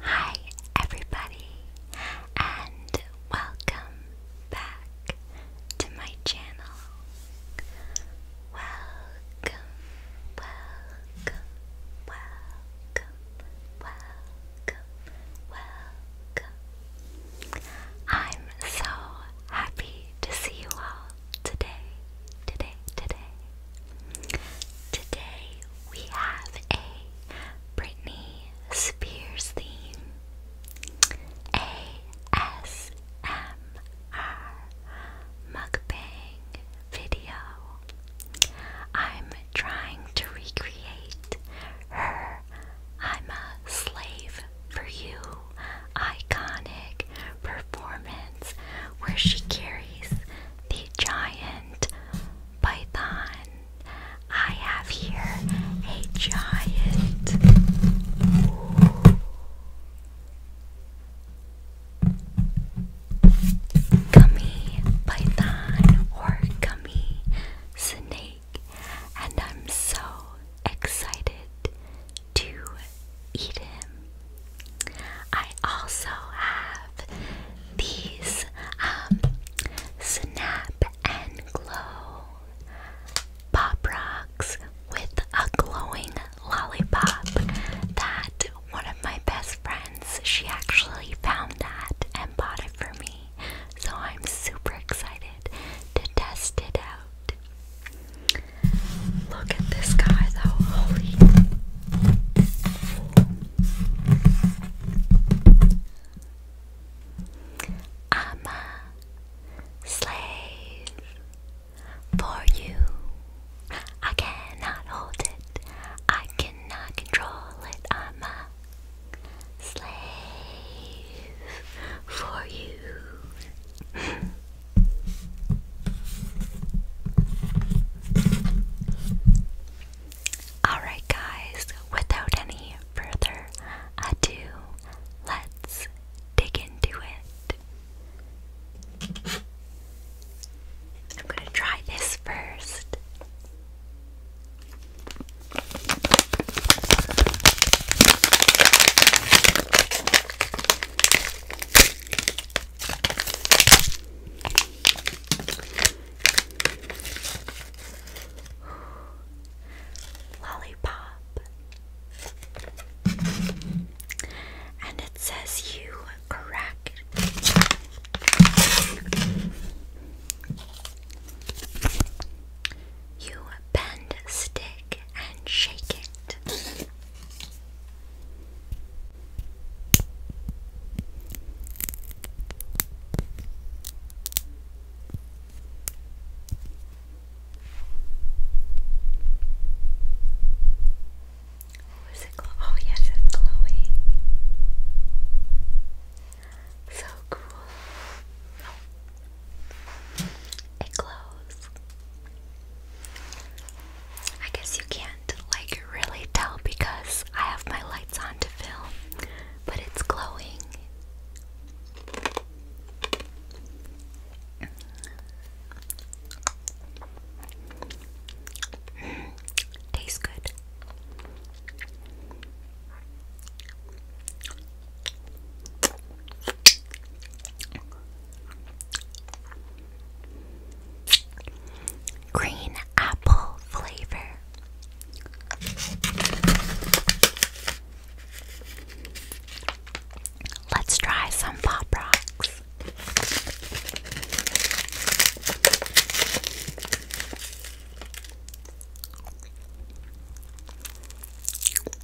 Hi, everybody, and welcome back to my channel. Welcome, welcome, welcome, welcome, welcome. I'm so happy to see you all today, today, today. Today we have a Britney Spears theme ASMR mukbang video. I'm trying to recreate her I'm a slave for you iconic performance where she carries the giant python. I have here a giant. Gummy python or gummy snake and I'm so excited to eat him. I also have these um, Snap and Glow Pop Rocks with a glowing lollipop that one of my best friends, she actually found that and bought it for me. So I'm super excited to test it out. Look at this guy though, holy. I'm a slave for you. I cannot hold it. I cannot control it. I'm a slave for you. Alright, guys, without any further ado, let's dig into it. I'm going to try this first. Lollipop. And it says you crack. You bend a stick and shake it. Oh, is it Oh, yes, it's glowing. So cool. It glows. I guess you can't like really tell because I have my lights on to film, but it's glowing. tastes good. Green apple flavor. Let's try some pop rocks.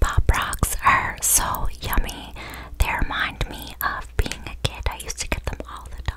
Pop rocks are so yummy. They remind me of being a kid. I used to get them all the time.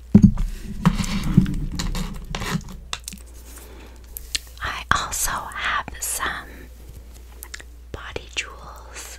I also have some body jewels.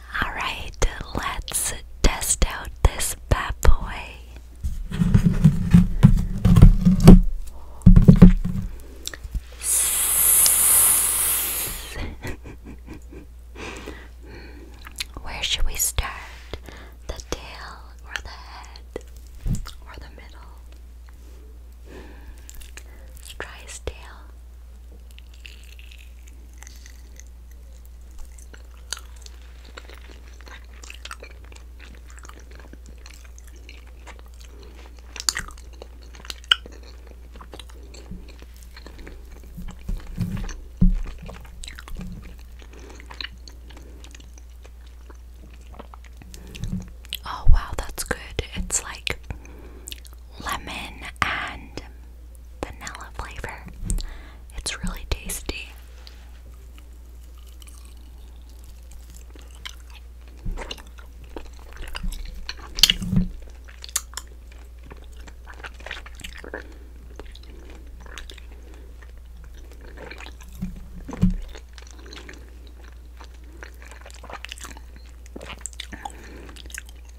Alright, let's test out this bad boy. Where should we start? The tail or the head or the middle? Let's try his tail. Oh wow, that's good. It's like lemon and vanilla flavor. It's really tasty.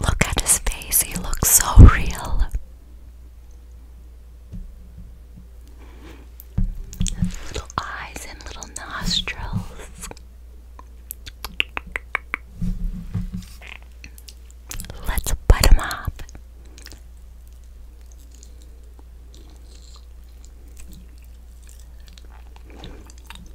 Look at his face, he looks so real. Little eyes and little nostrils. Let's butt him up.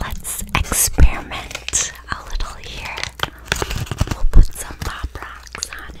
Let's experiment a little here. We'll put some pop rocks on it.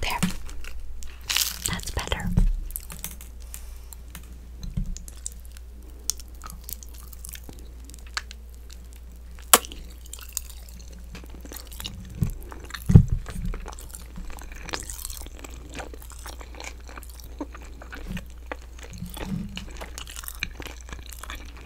there. That's better.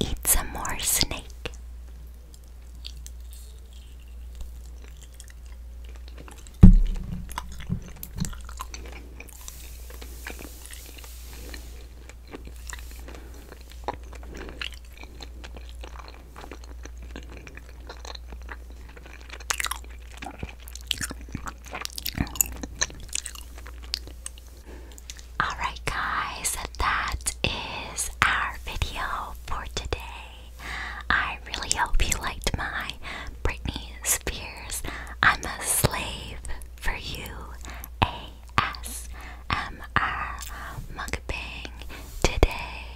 Eat some more snake. Alright, guys, that is our video for today. I really hope you liked my Britney Spears I'm a Slave for You ASMR mukbang today.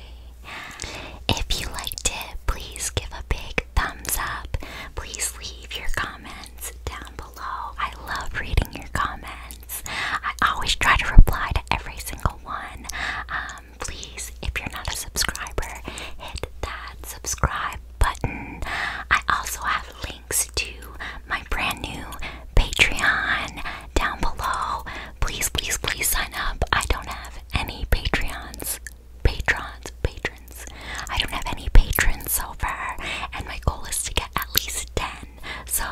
If you liked it, please give a big thumbs up. Please leave your comments down below. I love reading your comments. I always try to reply to every single one. Um, please, if you're not a subscriber, hit that subscribe button. I also have links to my brand new Patreon down below. Please, please, please sign up. I don't have any Patreons. Patrons, patrons. I don't have any patrons so far, and my goal is to get at least 10 so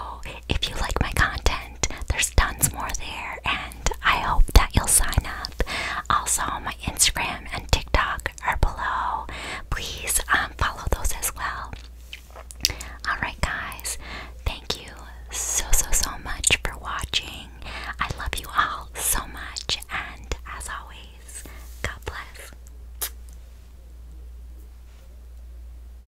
if you like my content, there's tons more there, and I hope that you'll sign up. Also, my Instagram and TikTok are below. Please um, follow those as well. Alright, guys, thank you so, so, so much for watching. I love you all so much, and as always, God bless.